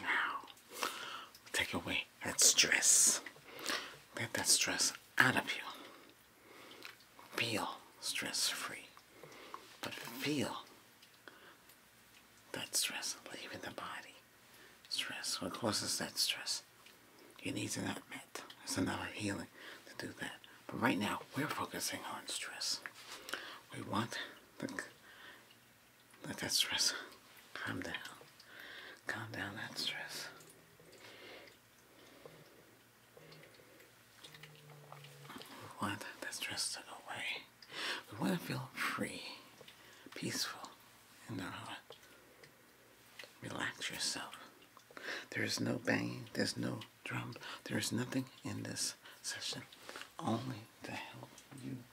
Now, take away that stress. Get that stress out of you. Feel stress free, but feel that stress leaving the body. Stress, what causes that stress? You need to not met. There's another healing to do that. But right now, we're focusing on stress. We want the let that stress calm down. Calm down that stress. We want that stress to go away. We want to feel free, peaceful in our heart. Relax yourself. There is no banging, there's no drum, there is nothing in this session, only to help you.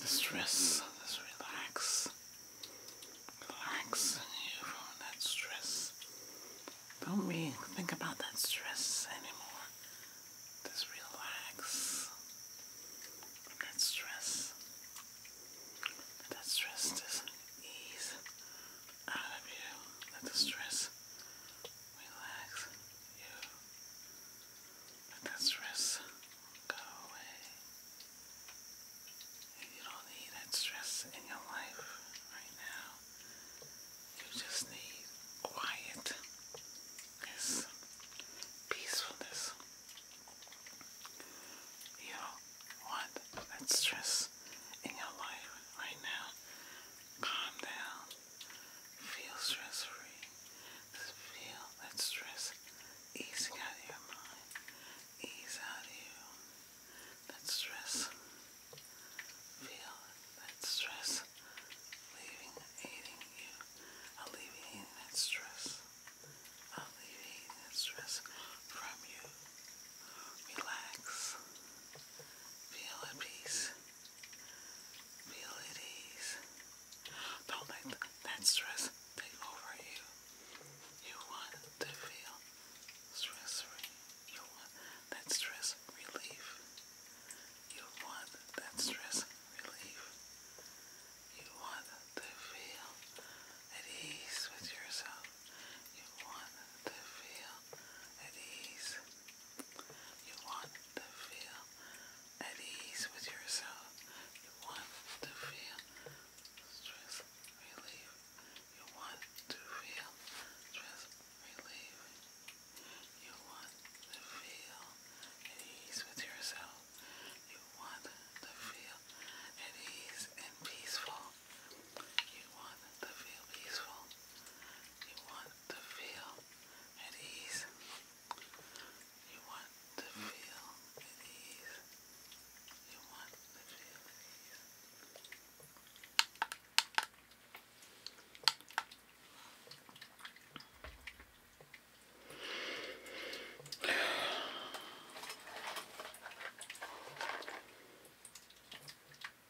The stress, just relax, relax you from that stress. Don't be think about that stress anymore? Just relax that stress. Let that stress ease out of you. Let the stress relax you. Let that stress go away. you don't need that stress in your life right now. You just need quiet. peacefulness. You don't want that stress in your life right now. Calm down. Feel stress free. Just feel that stress easing out of your mind. Ease out of you. That stress. Feel that stress leaving, aiding you. Alleviating that stress. Alleviating that stress from you. Relax. Feel at peace. Feel at ease. Don't let that stress take over you. You want to feel stress free. You want that stress relief. You want that stress relief. You want to feel at ease with yourself. You want to feel at ease. You want to feel at ease with yourself. You want to feel stress relief. You want to feel stress relief. You want to feel at ease with yourself. You want to feel at ease and peaceful you want to feel peaceful. You want to feel at ease. You want to feel at ease. You want to feel at ease.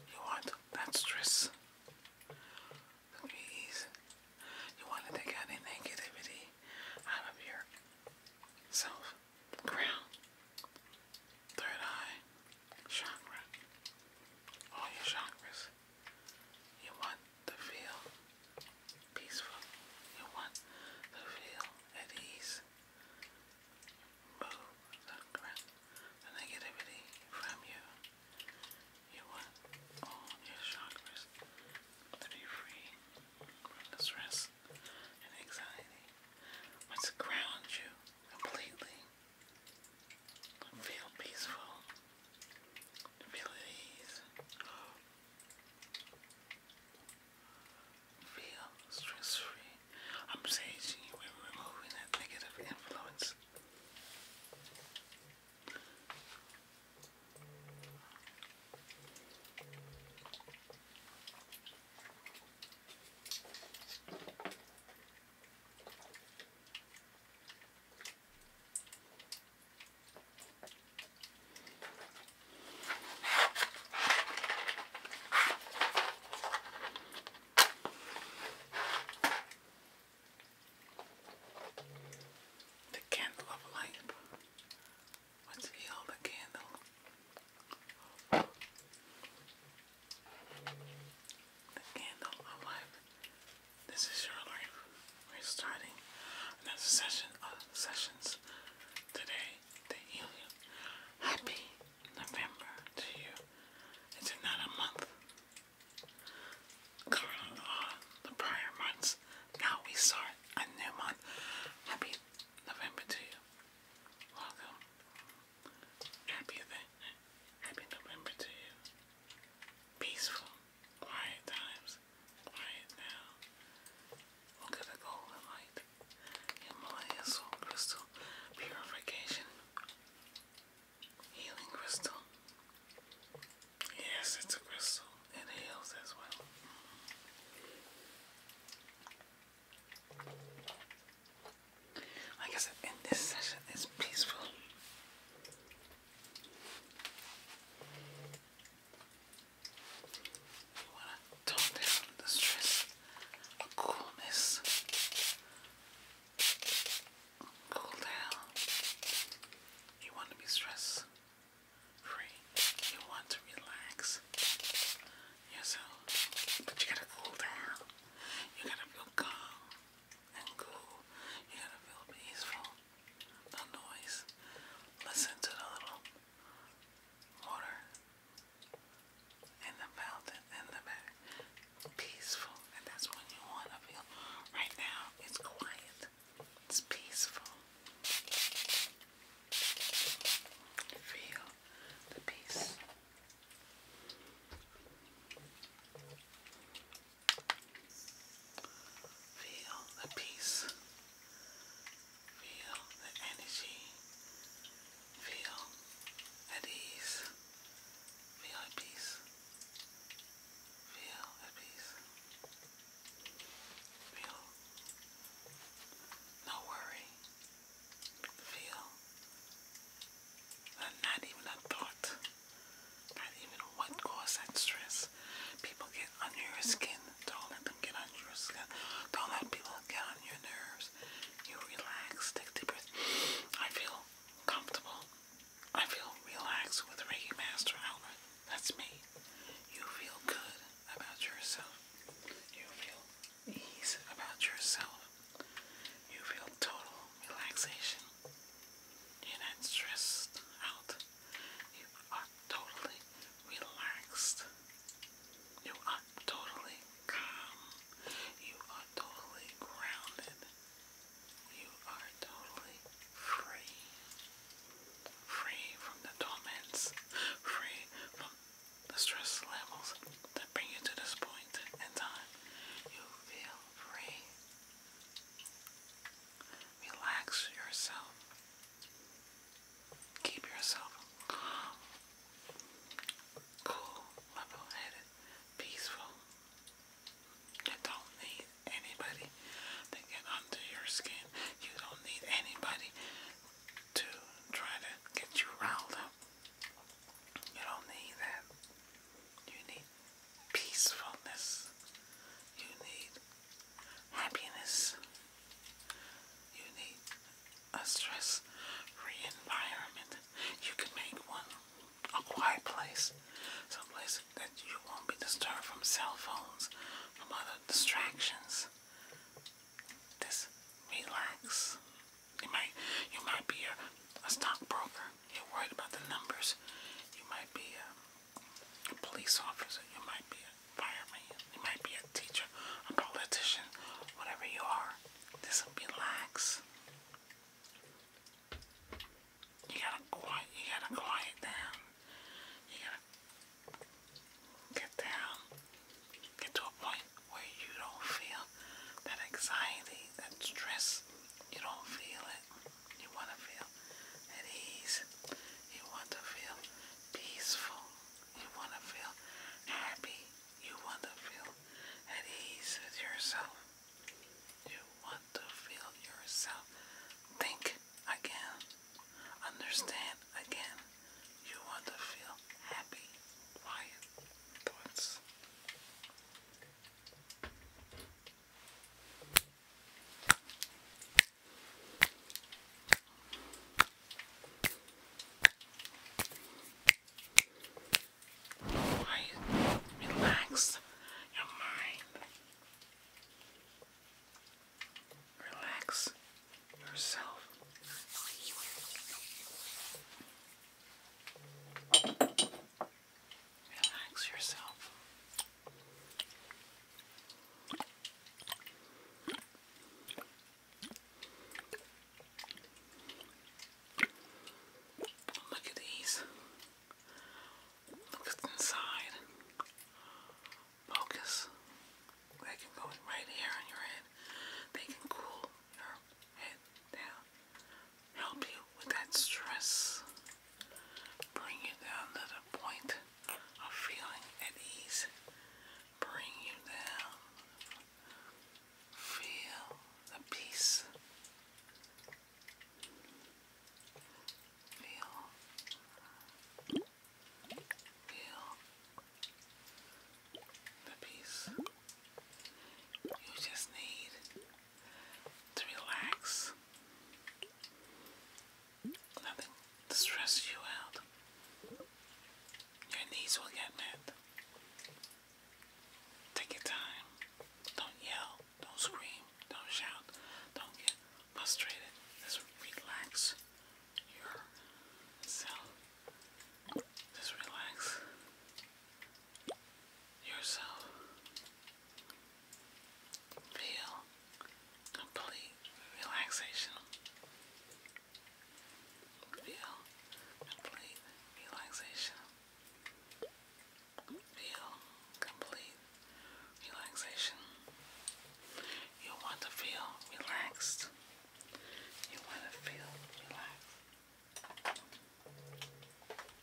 You want that stress? Please. You want to take any negativity out of your self, crown, third eye, chakra, all your chakras. You want to feel peaceful. You want to feel at ease. Move the, the negativity from you. You want all your chakras to be free from stress and anxiety. let ground you completely. Feel peaceful. Feel at ease. Feel stress free. I'm saging you and removing that negative influence. The candle of light. Let's heal the candle. The candle of life. This is your life. We're starting another session of sessions today Happy November to you. It's another month. Covering all uh, the prior months. Now we start a new month. Happy November to you. Welcome. Happy, happy November to you. Peaceful. Quiet times, quiet now. Look at the golden light. Himalayan soul crystal, purification, healing crystal. Yes, it's a crystal. It heals as well. I said, in this session, it's peaceful. You want to tone down the stress coolness. Cool down. You want to be stress free. You want to relax yourself. But you gotta cool down. You gotta feel calm and cool. You gotta feel peaceful no noise. Listen to the little water in the fountain in the back. Peaceful. And that's when you want to feel. Right now, it's quiet. It's peaceful. Feel the peace. Feel the peace. Feel the energy. Feel at ease. Feel Feel at peace. Feel no worry. Feel not even a thought not even what caused that stress. People get under your skin. Don't let them get under your skin. Don't let people get on your nerves. You relax, take deep breaths. I feel comfortable. I feel relaxed with Reiki Master Outlet. That's me. You feel good about yourself. You feel ease about yourself. You feel total relaxation. You're not stressed out. You are totally relaxed. You are totally calm. You are totally grounded. You are totally free. Free from the torments. Free from the stress levels that bring you to this point in time. You feel free. Relax yourself. Keep yourself calm, cool, level headed, peaceful. You don't need anybody to get under your skin. You don't need anybody to try to get you riled up. You don't need that. You need peacefulness. You need happiness. You need a stress free environment. You can make one a quiet place, some place that you won't be disturbed from cell phones, from other distractions. Just relax. You might you might be a, a stockbroker. You're worried about the numbers. You might be a um, a police officer, you might be a fireman, you might be a teacher, a politician, whatever you are. This will be lax. You gotta quiet, you gotta quiet down. You gotta get down, get to a point where you don't feel that anxiety, that stress. You don't feel you want to feel at ease. You want to feel peaceful. You want to feel happy. You want to feel at ease with yourself. You want to feel yourself. Think again. Understand again. You want to feel happy, quiet thoughts. Why relax your mind? Relax yourself. Relax yourself. look at these. Look inside. Focus. They can go right here on your head. They can cool your head down. Help you with that stress. Bring you down to the point of feeling at ease. Bring you down. Feel the peace. Feel. Feel the peace. You just need to relax, nothing to you out. Your needs will get met. Take your time. Don't yell, don't scream, don't shout, don't get frustrated. Just relax yourself. Just relax yourself. Feel complete relaxation. Feel complete relaxation. Feel complete relaxation. You want to feel relaxed. You want to feel relaxed.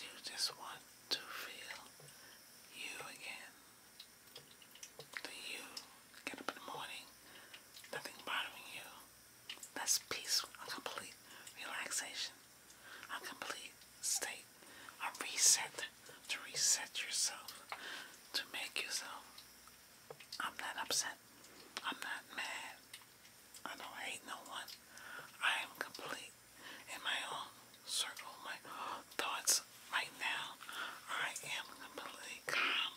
You just want to feel you again. The you get up in the morning, nothing bothering you. That's peace, a complete relaxation, a complete state, a reset to reset yourself, to make yourself. I'm not upset. I'm not mad. I don't hate no one. I am complete in my own circle, my thoughts right now. I am completely calm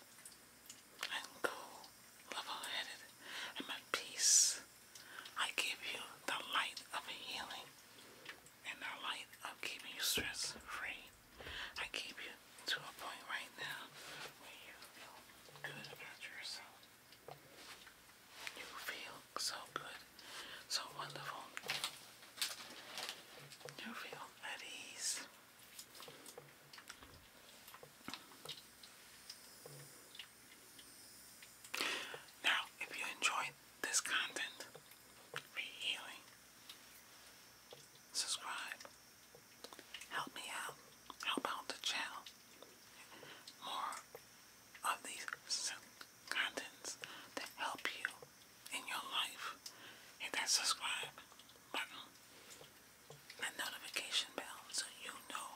and cool, level-headed, and at peace. I give you the light of healing and the light of keeping you stress-free. I keep you to a point right now where you feel good about yourself. You feel so good, so wonderful. You feel at ease. Now, if you enjoyed this content, be healing, subscribe, help me out, help out the channel more of these contents that help you in your life. Hit that subscribe button and notification bell so you know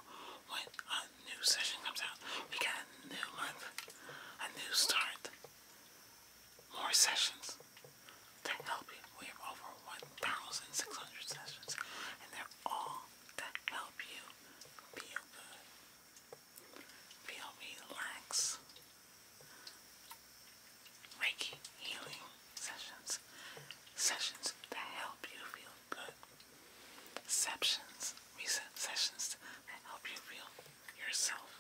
when a new session comes out. We got a new month, a new start, more sessions to help you. We have over 1,600 sessions and they're all that help you feel good, feel relaxed. Reiki healing sessions, sessions that help you feel good, sessions, reset sessions that help you feel yourself.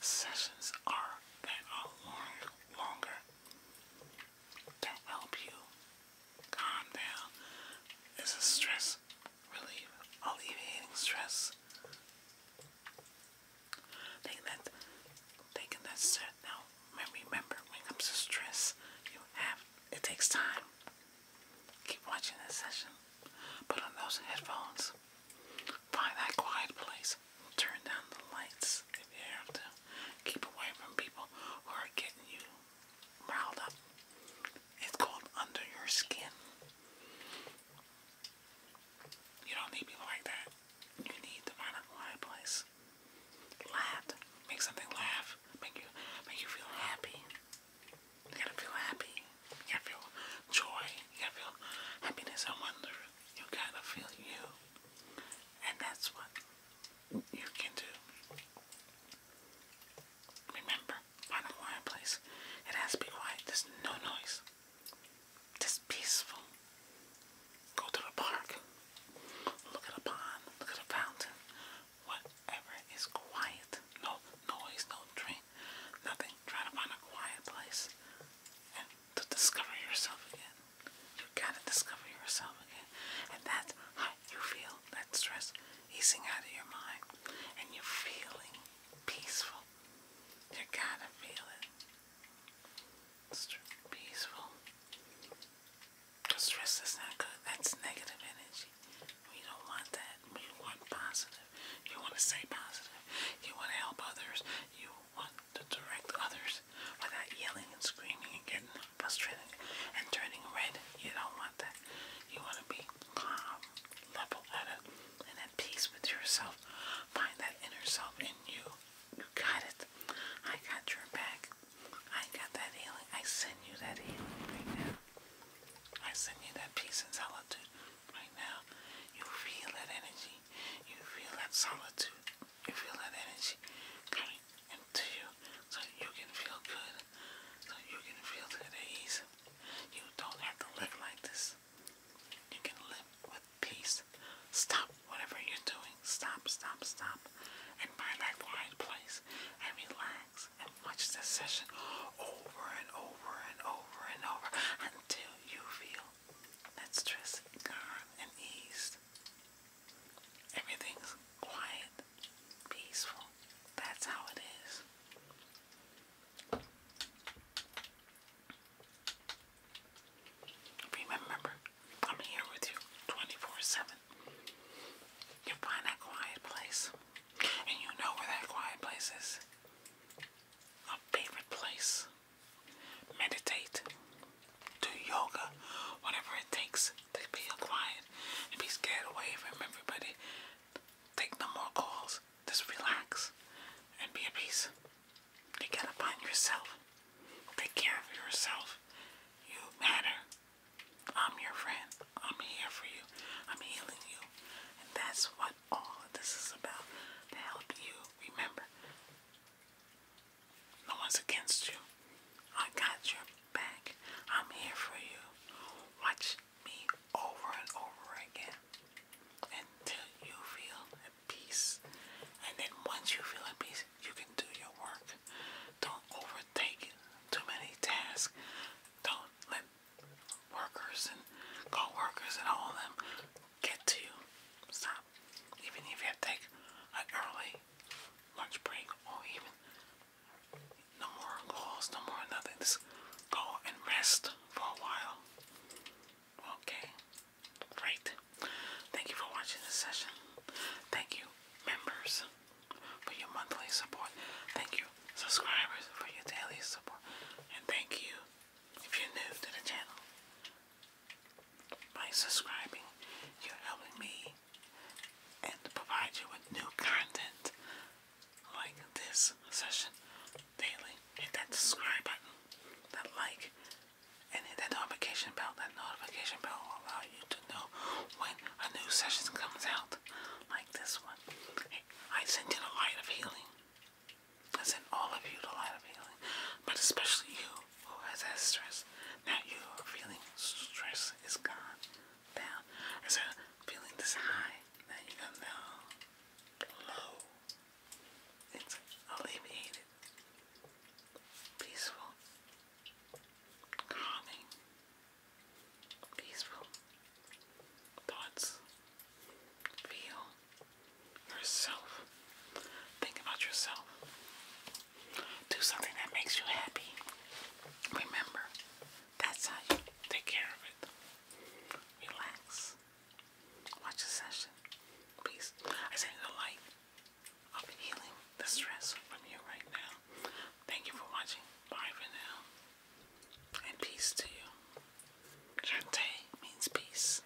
Sessions are that are longer to help you calm down. This is stress relief, alleviating stress. Taking that, taking that now. Remember, when it comes to you have it takes time. Keep watching this session. Put on those headphones. Find that quiet place. Turn down the lights if you have to. Keep away from people who are getting you riled up. It's called Under Your Skin. You don't need people like that. You need to find a quiet place. Laugh. Make something laugh. Make you make you feel happy. You gotta feel happy. You gotta feel joy. You gotta feel happiness and wonder. You gotta feel you. And that's what you can do. Remember, on a fireplace, it has to be quiet. There's no noise. Just peaceful. Go to the park. Look at a pond. Look at a fountain. Whatever is quiet. No noise, no drink, nothing. Try to find a quiet place and to discover yourself again. You gotta discover yourself again. And that's how you feel that stress easing out of your mind. And you're feeling peaceful. You gotta feel it. It's peaceful. Stress is not good. That's negative energy. We don't want that. We want positive. You want to say positive. You want to help others. You want to direct others without yelling and screaming and getting and turning red. You don't want that. You want to be calm, level-headed, and at peace with yourself. Find that inner self in you. You got it. I got your back. I got that healing. I send you that healing right now. I send you that peace and solitude right now. You feel that energy. You feel that solitude you feel that energy coming into you so you can feel good, so you can feel at ease. You don't have to live like this. You can live with peace. Stop whatever you're doing. Stop, stop, stop. And find that quiet place and relax and watch this session over and over and over and over until you feel that stress gone and eased. Everything's quiet, peaceful. That's how it is. Remember, I'm here with you 24 7. You find that quiet place, and you know where that quiet place is. A favorite place. Meditate do yoga, whatever it takes to be quiet and be scared away from everybody. Take no more calls. Just relax and be at peace. You gotta find yourself. Take care of yourself. You matter. I'm your friend. I'm here for you. I'm healing you. And that's what all of this is about. To help you remember no one's against you. I got your back. I'm here for you. Watch me over and over again until you feel at peace. And then once you feel at peace, you can do your work. Don't overtake too many tasks. Don't let workers and co and all them get to you. Stop even if you take an early lunch break or even no more calls, no more nothing, just go and rest for a while. Okay, great. Thank you for watching this session. Thank you, members, for your monthly support. Thank you, subscribers, for your daily support. And thank you if you're new to the channel. By subscribing, you're helping me and provide you with new content like this session daily. Hit that subscribe button, that like, and hit that notification bell. That notification bell will allow you to know when a new session comes out, like this one. I send you the light of healing. I send all of you the light of healing, but especially you who has that stress. Now you're feeling stress is gone down. Instead of feeling this high, now you come down low. It's alleviated, peaceful, calming, peaceful thoughts. Feel yourself. Think about yourself. Do something that makes you happy. Remember, that's how you take care of it. Relax. Watch the session. Please. I send you the light of healing the stress from you right now. Thank you for watching. Bye for now. And peace to you. Shante means peace.